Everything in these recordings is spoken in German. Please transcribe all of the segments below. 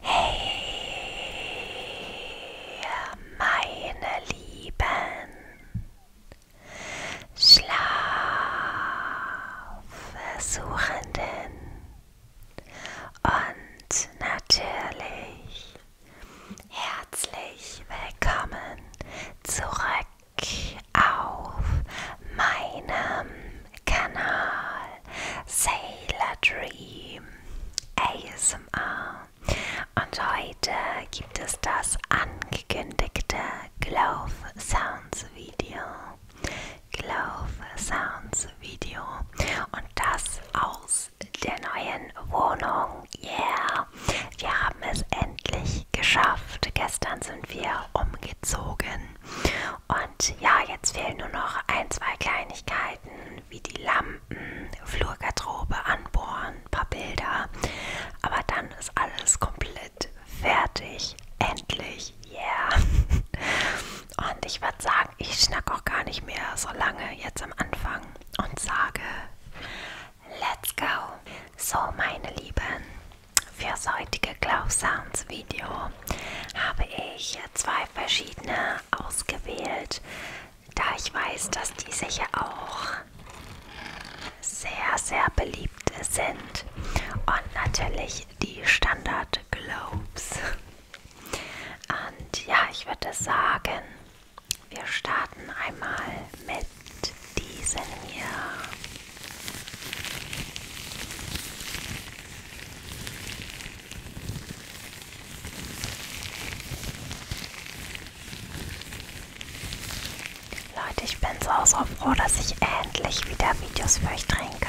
Hey, meine Lieben, Schlafversuchenden und natürlich herzlich willkommen zurück auf meinem Kanal Sailor Dream ASMR und heute gibt es das angekündigte Glove Sounds Video. Glove Sounds Video und das aus der neuen Wohnung. Yeah! wir haben es endlich geschafft. Gestern sind wir umgezogen. Und ja, jetzt fehlen nur noch ein, zwei Kleinigkeiten wie die Lampen, Flurgarderobe anbohren, ein paar Bilder. Aber dann ist alles komplett fertig. Endlich. Yeah. Und ich würde sagen, ich schnack auch gar nicht mehr so lange jetzt am Anfang und sage Let's go! So, meine Lieben, fürs heutige Glow Sounds Video habe ich zwei verschiedene ausgewählt, da ich weiß, dass diese hier auch sehr, sehr beliebt sind. Und natürlich die Standard Globes. Und ja, ich würde sagen, wir starten einmal mit diesem Jahr. Leute, ich bin so, so froh, dass ich endlich wieder Videos für euch drehen kann.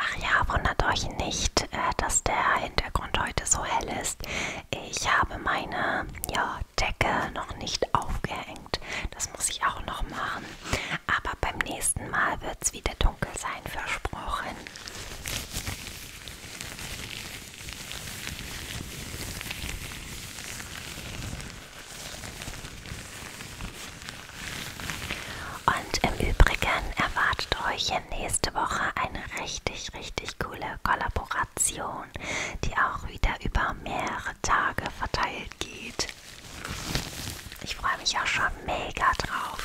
Ach ja, wundert euch nicht, äh, dass der Hintergrund heute so hell ist. Ich habe meine ja, Decke noch nicht aufgehängt. Das muss ich auch noch machen. Aber beim nächsten Mal wird es wieder dunkel sein, versprochen. Und im Übrigen erwartet euch nächste Woche eine richtig, richtig coole Kollaboration, die auch wieder über mehrere Tage verteilt geht. Ich freue mich auch schon mega drauf.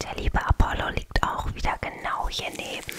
Der liebe Apollo liegt auch wieder genau hier neben.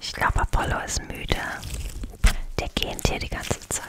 Ich glaube, Apollo ist müde. Der gähnt hier die ganze Zeit.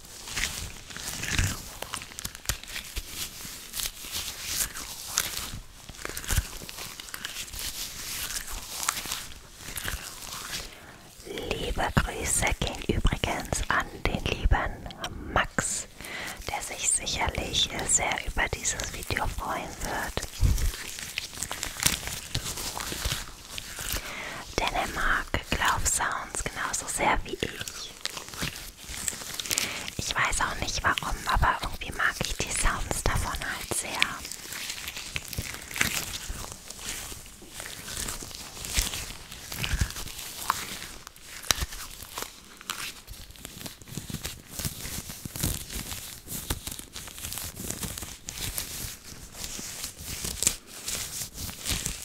Liebe Grüße gehen übrigens an den lieben Max, der sich sicherlich sehr über dieses Video freuen wird. Denn er mag Glaubsounds genauso sehr wie ich ich. Ich weiß auch nicht warum, aber irgendwie mag ich die Sounds davon halt sehr.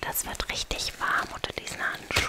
Das wird richtig warm unter diesen Handschuhen.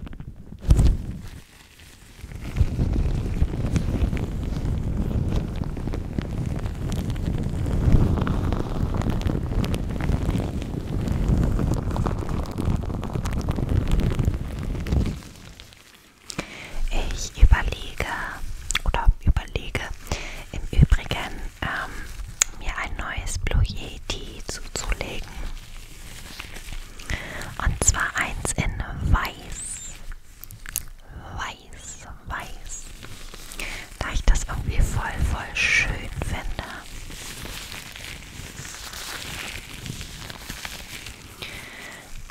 Ich überlege oder überlege im Übrigen ähm, mir ein neues Blue Yeti zuzulegen. Und zwar eins in weiß. Weiß, weiß. Da ich das irgendwie voll, voll schön finde.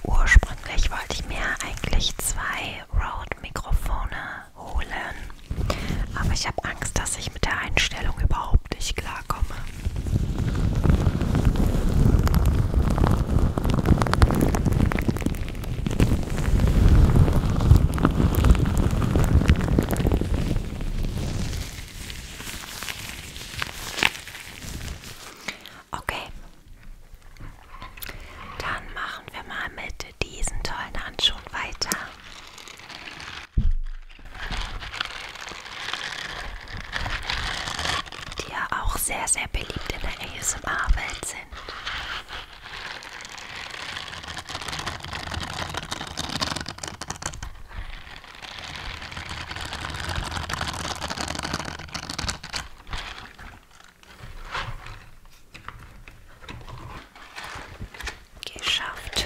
Ursprünglich wollte ich mir eigentlich zwei Rode-Mikrofone holen. Aber ich habe Angst, dass ich mit der Einstellung überhaupt nicht klarkomme. Okay, dann machen wir mal mit diesen tollen Handschuhen weiter. Die ja auch sehr, sehr beliebt in der ASMR-Welt sind. Geschafft.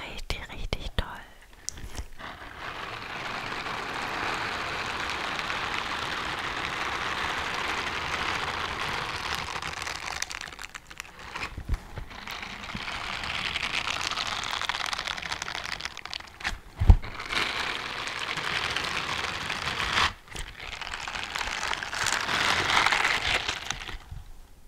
Richtig, richtig toll.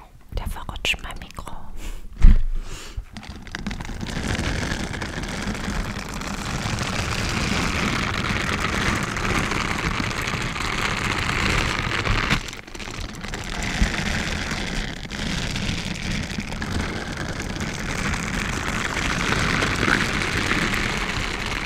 Oh, der verrutscht mein Mikro.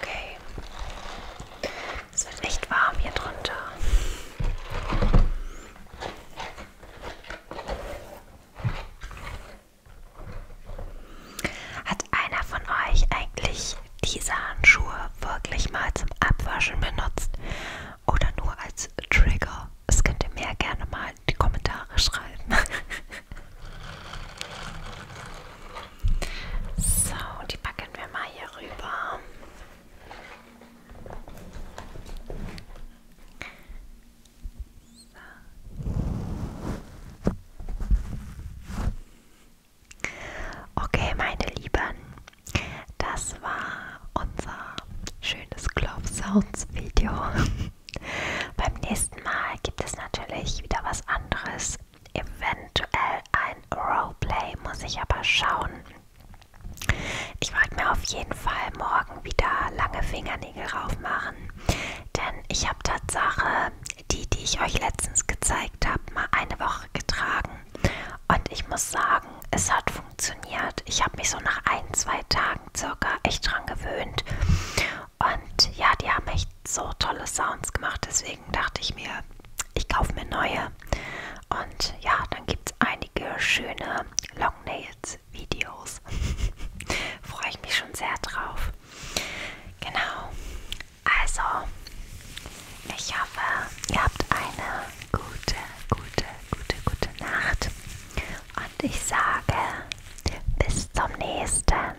Okay. Es wird echt warm hier drunter. Hat einer von euch eigentlich diese Handschuhe wirklich mal zum Abwaschen benutzt oder nur als Trigger? Das könnt ihr mir gerne mal in die Kommentare schreiben. so, die packen wir mal hier rüber. So. Okay, meine Lieben, das war unser schönes Club Sounds Video. Beim nächsten Mal gibt es natürlich wieder was anderes. Eventuell ein Roleplay, muss ich aber schauen. Ich wollte mir auf jeden Fall morgen wieder lange Fingernägel raufmachen, denn ich habe Tatsache die, die ich euch letztens gezeigt habe, mal eine Woche getragen. Und ich muss sagen, es hat funktioniert. Ich habe mich so nach ein, zwei Tagen circa echt dran gewöhnt. Und ja, die haben echt so tolle Sounds gemacht. Deswegen dachte ich mir, ich kaufe mir neue. Und ja, dann gibt es einige schöne Long Nails Videos. Freue ich mich schon sehr drauf. Genau. Also, ich hoffe, ihr habt eine gute, gute, gute, gute Nacht. Und ich sage, bis zum nächsten Mal.